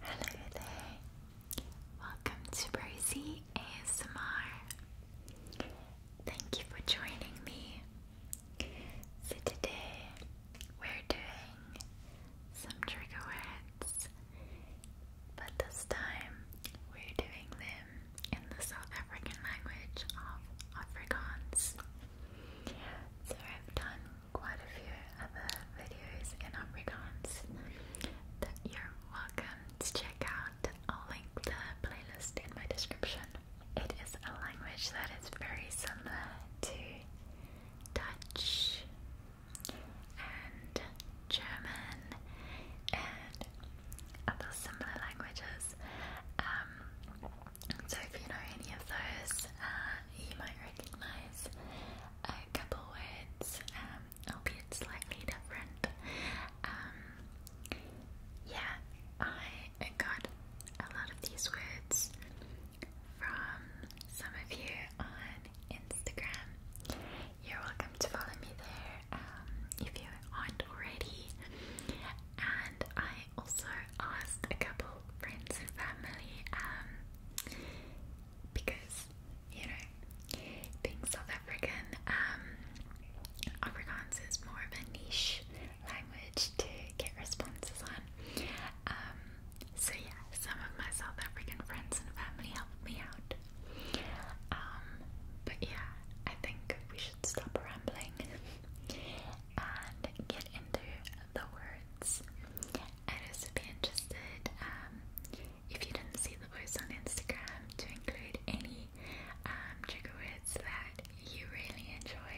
Hello there, welcome to Rosie ASMR. Thank you for joining me. So, today we're doing some trigger words, but this time we're doing them in the South African language of Afrikaans. So, have done quite a few other videos in Afrikaans that you're welcome to check out. I'll link the playlist in my description. It is a language that is very similar to Dutch and German and other similar languages. Um, so if you know any of those, uh, you might recognize a couple words, um, albeit slightly different. Um, yeah, I got a lot of these words from some of you on Instagram. You're welcome to follow me there um, if you aren't already. And I also asked a couple friends and family um, because you know being South African, um, Afrikaans is more of a niche language to get responses on. Um, so yeah, some of my South African friends and family helped me out. Um, but yeah, I think we should stop rambling and get into the words I would also be interested if you didn't see the post on Instagram to include any um, trigger words that you really enjoy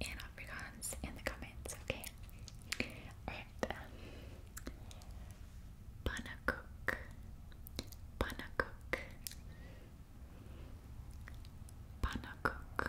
in Afrikaans in the comments, okay? Alright. Um, Panakuk. Panakuk. Panakuk.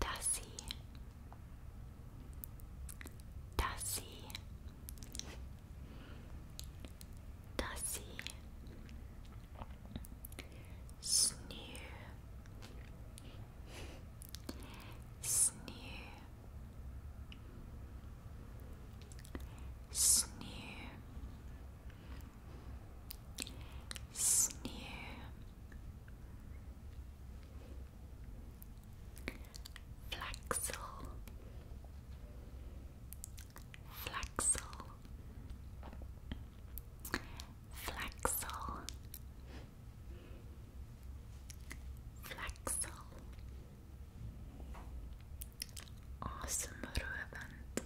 Tassie, Tassie, Tassie, Snoo, Snoo, Snoo, Sneer Flaxel Flaxel Flaxel Flaxel Awesome event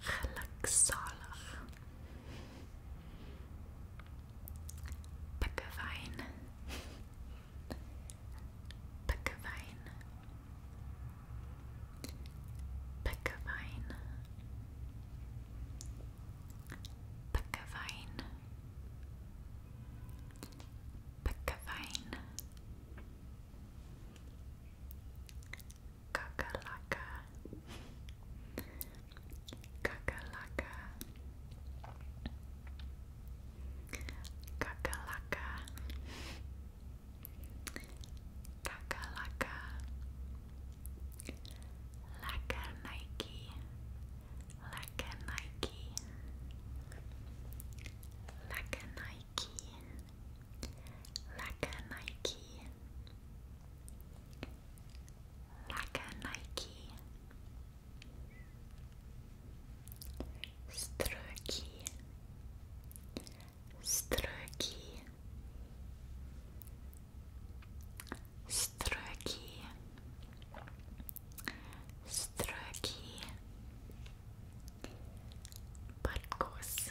gelukzalig. Pikkewijn. Pikkewijn. Pikkewijn. Pikkewijn. Pikkewijn. Kakalaka Kakalaka Kakalaka Kakalaka Laka Nike Laka Nike Laka Nike Laka Nike like a Nike, like Nike, struki, struki, struki, struki. Barkos,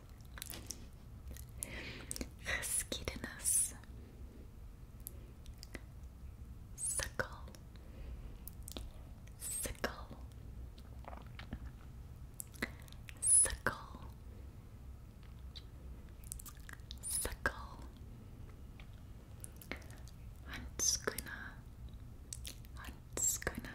Skeetinus Sickle Sickle Sickle Sickle Huntscuna Huntscuna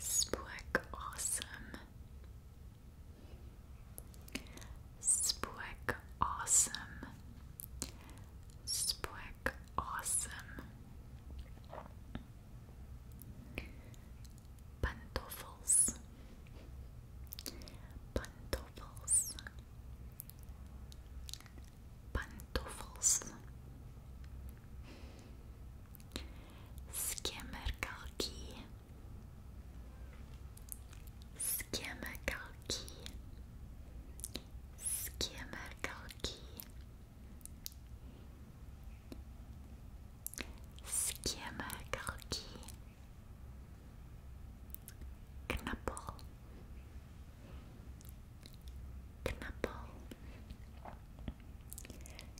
Spook awesome. Spook awesome. Spook awesome. Pantoffels. Pantoffels. Pantoffels. Skimmer Skimmerkalki Skimmerkalki Skimmerkalki Knuppel Knuppel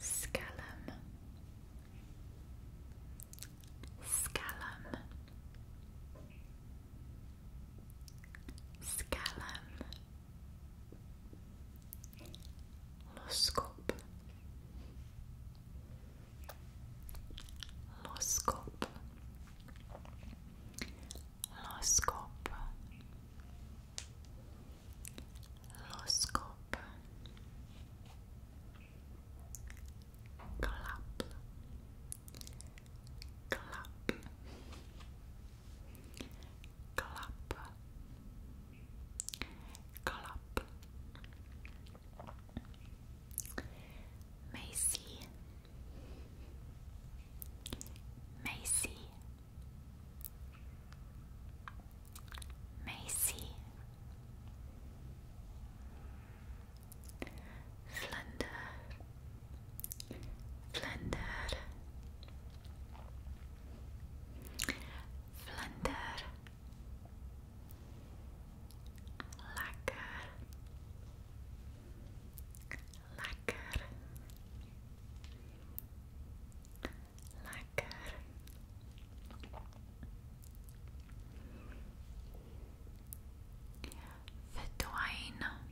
Scallum, Scallum, Scallum, Loscope, Loscope, Loscope. L'oscope Clap Clap Clap Clap Macy Macy Macy, Flender, Flender, Flender, Lekker, Lekker the twine, Verdwijn.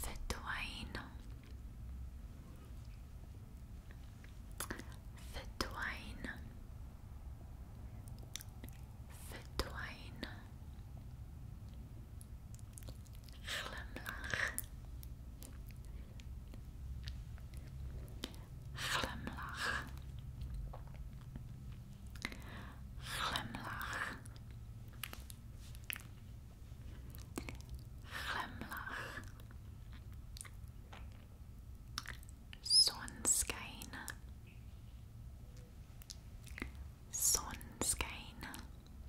Verdwijn. Verdwijn. Verdwijn. Glimlach. Glimlach. Glimlach. Glimlach. Zonskijn. Zonskijn.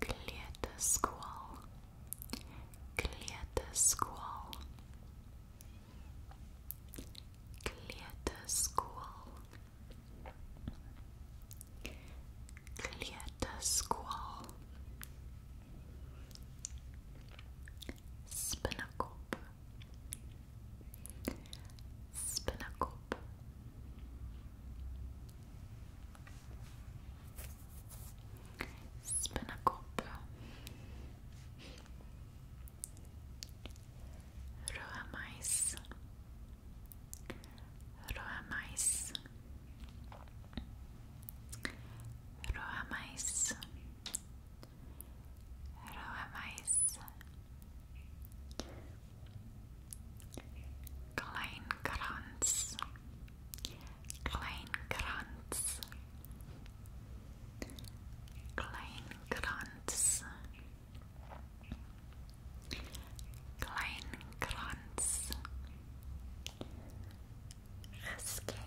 Clear the squall. Clear the squall. Clear squall. Clear the squall. Spinacope. Spinacope. Roa mais. Roa mais. Roa mais. روح معيز كلاين كرانس كلاين كرانس كلاين كرانس كلاين كرانس Risking,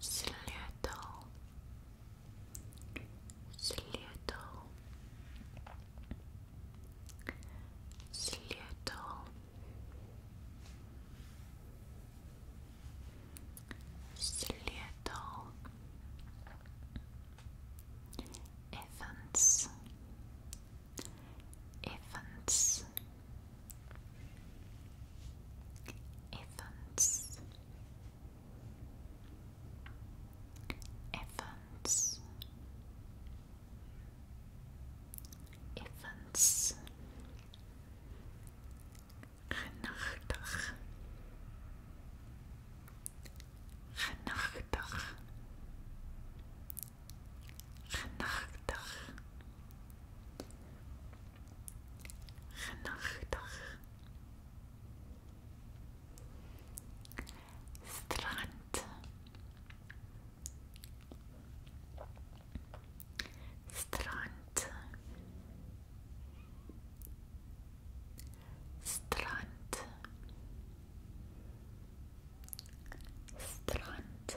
Slittle, slittle, slittle, slittle, Evans, Evans. Evans Evans Evans Renachter Renachter Genachtig. Genachtig. Strand. Strand. Strand. Strand.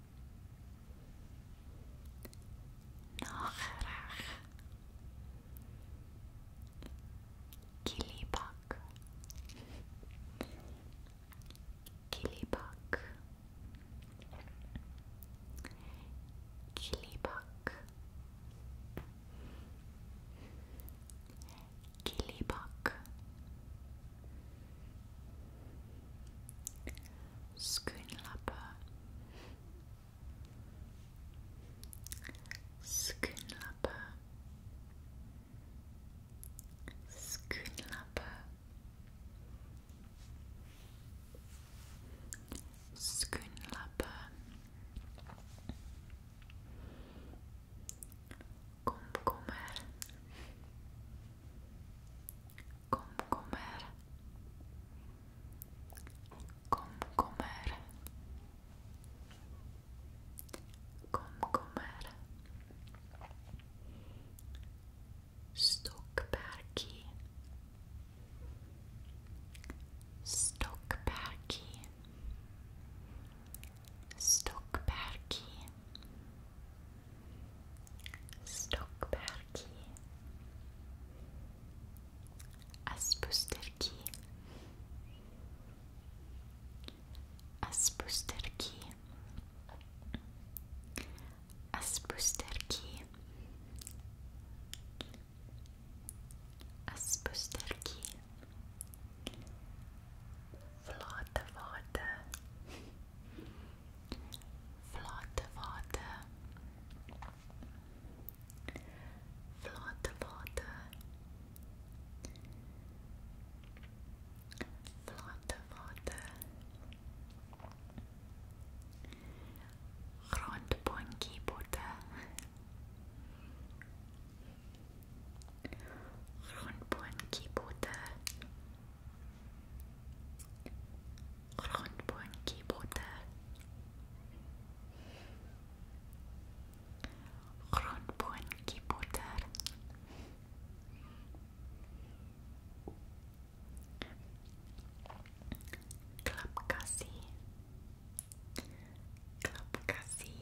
ناخرخ كليبك كليبك كليبك كليبك Schoonlapper Schoonlapper Schoonlapper Schoonlapper komkommer komkommer komkommer komkommer stockperki stockperki Stockperki Stockberg Aspusterki Aspusterki Aspusterki Aspusterki Flotte Worte. Flotte Worte. Flotte Worte. Flotte Worte. Rondbonkibote. Rundbun Kibote Rundbun Kibote Rundbun Kibote Klapkasi Klapkasi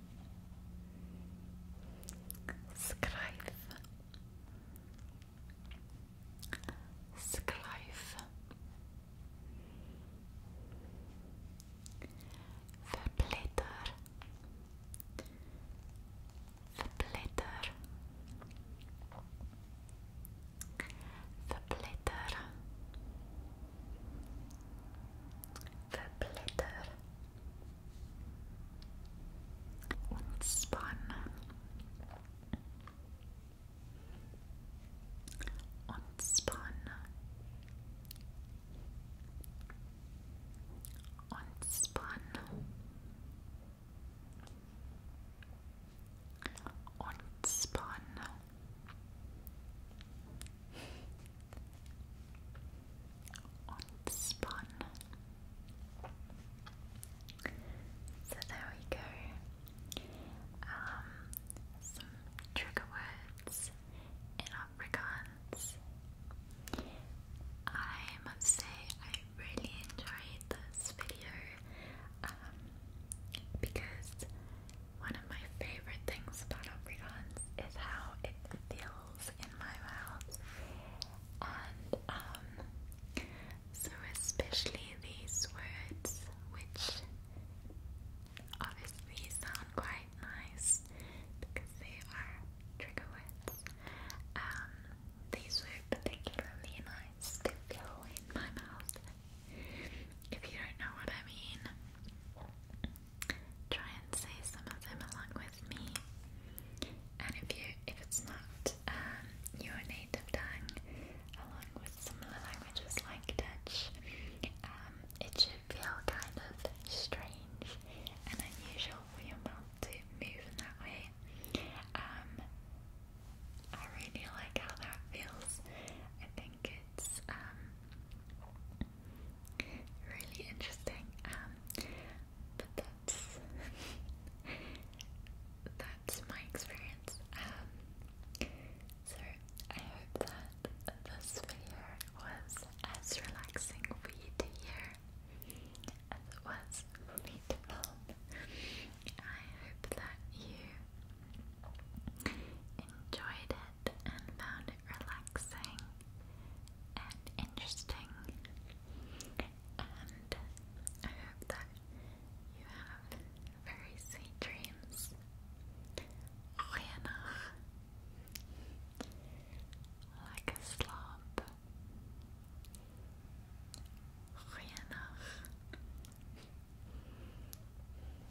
Schrijf. Schrijf. Verbletter. Verbletter. Verblätter, verblätter und spann und spann und spann und spann and spun. So there we go. Um, trigger words in Afrikaans. I must say I really enjoyed this video um, because one of my favorite things about Obrigons is how it feels in my mouth. And um, so especially these words which obviously sound quite nice because they are trigger words. Um, these were particularly nice to feel in my mouth. If you don't know what I mean, Try and say some of them along with me. And if you if it's not um, your native tongue, along with some languages like Dutch, um, it should feel kind of strange and unusual for your mouth to move in that way. Um, I really like how that feels. I think it's really interesting. Um, but that's that's my experience. Um, so I hope that this video was as relaxing for you to hear as it was for me to film. I hope that you enjoyed it and found it relaxing and interesting. And I hope that you have very sweet dreams. Goeienacht. Like a slob. Goeienacht.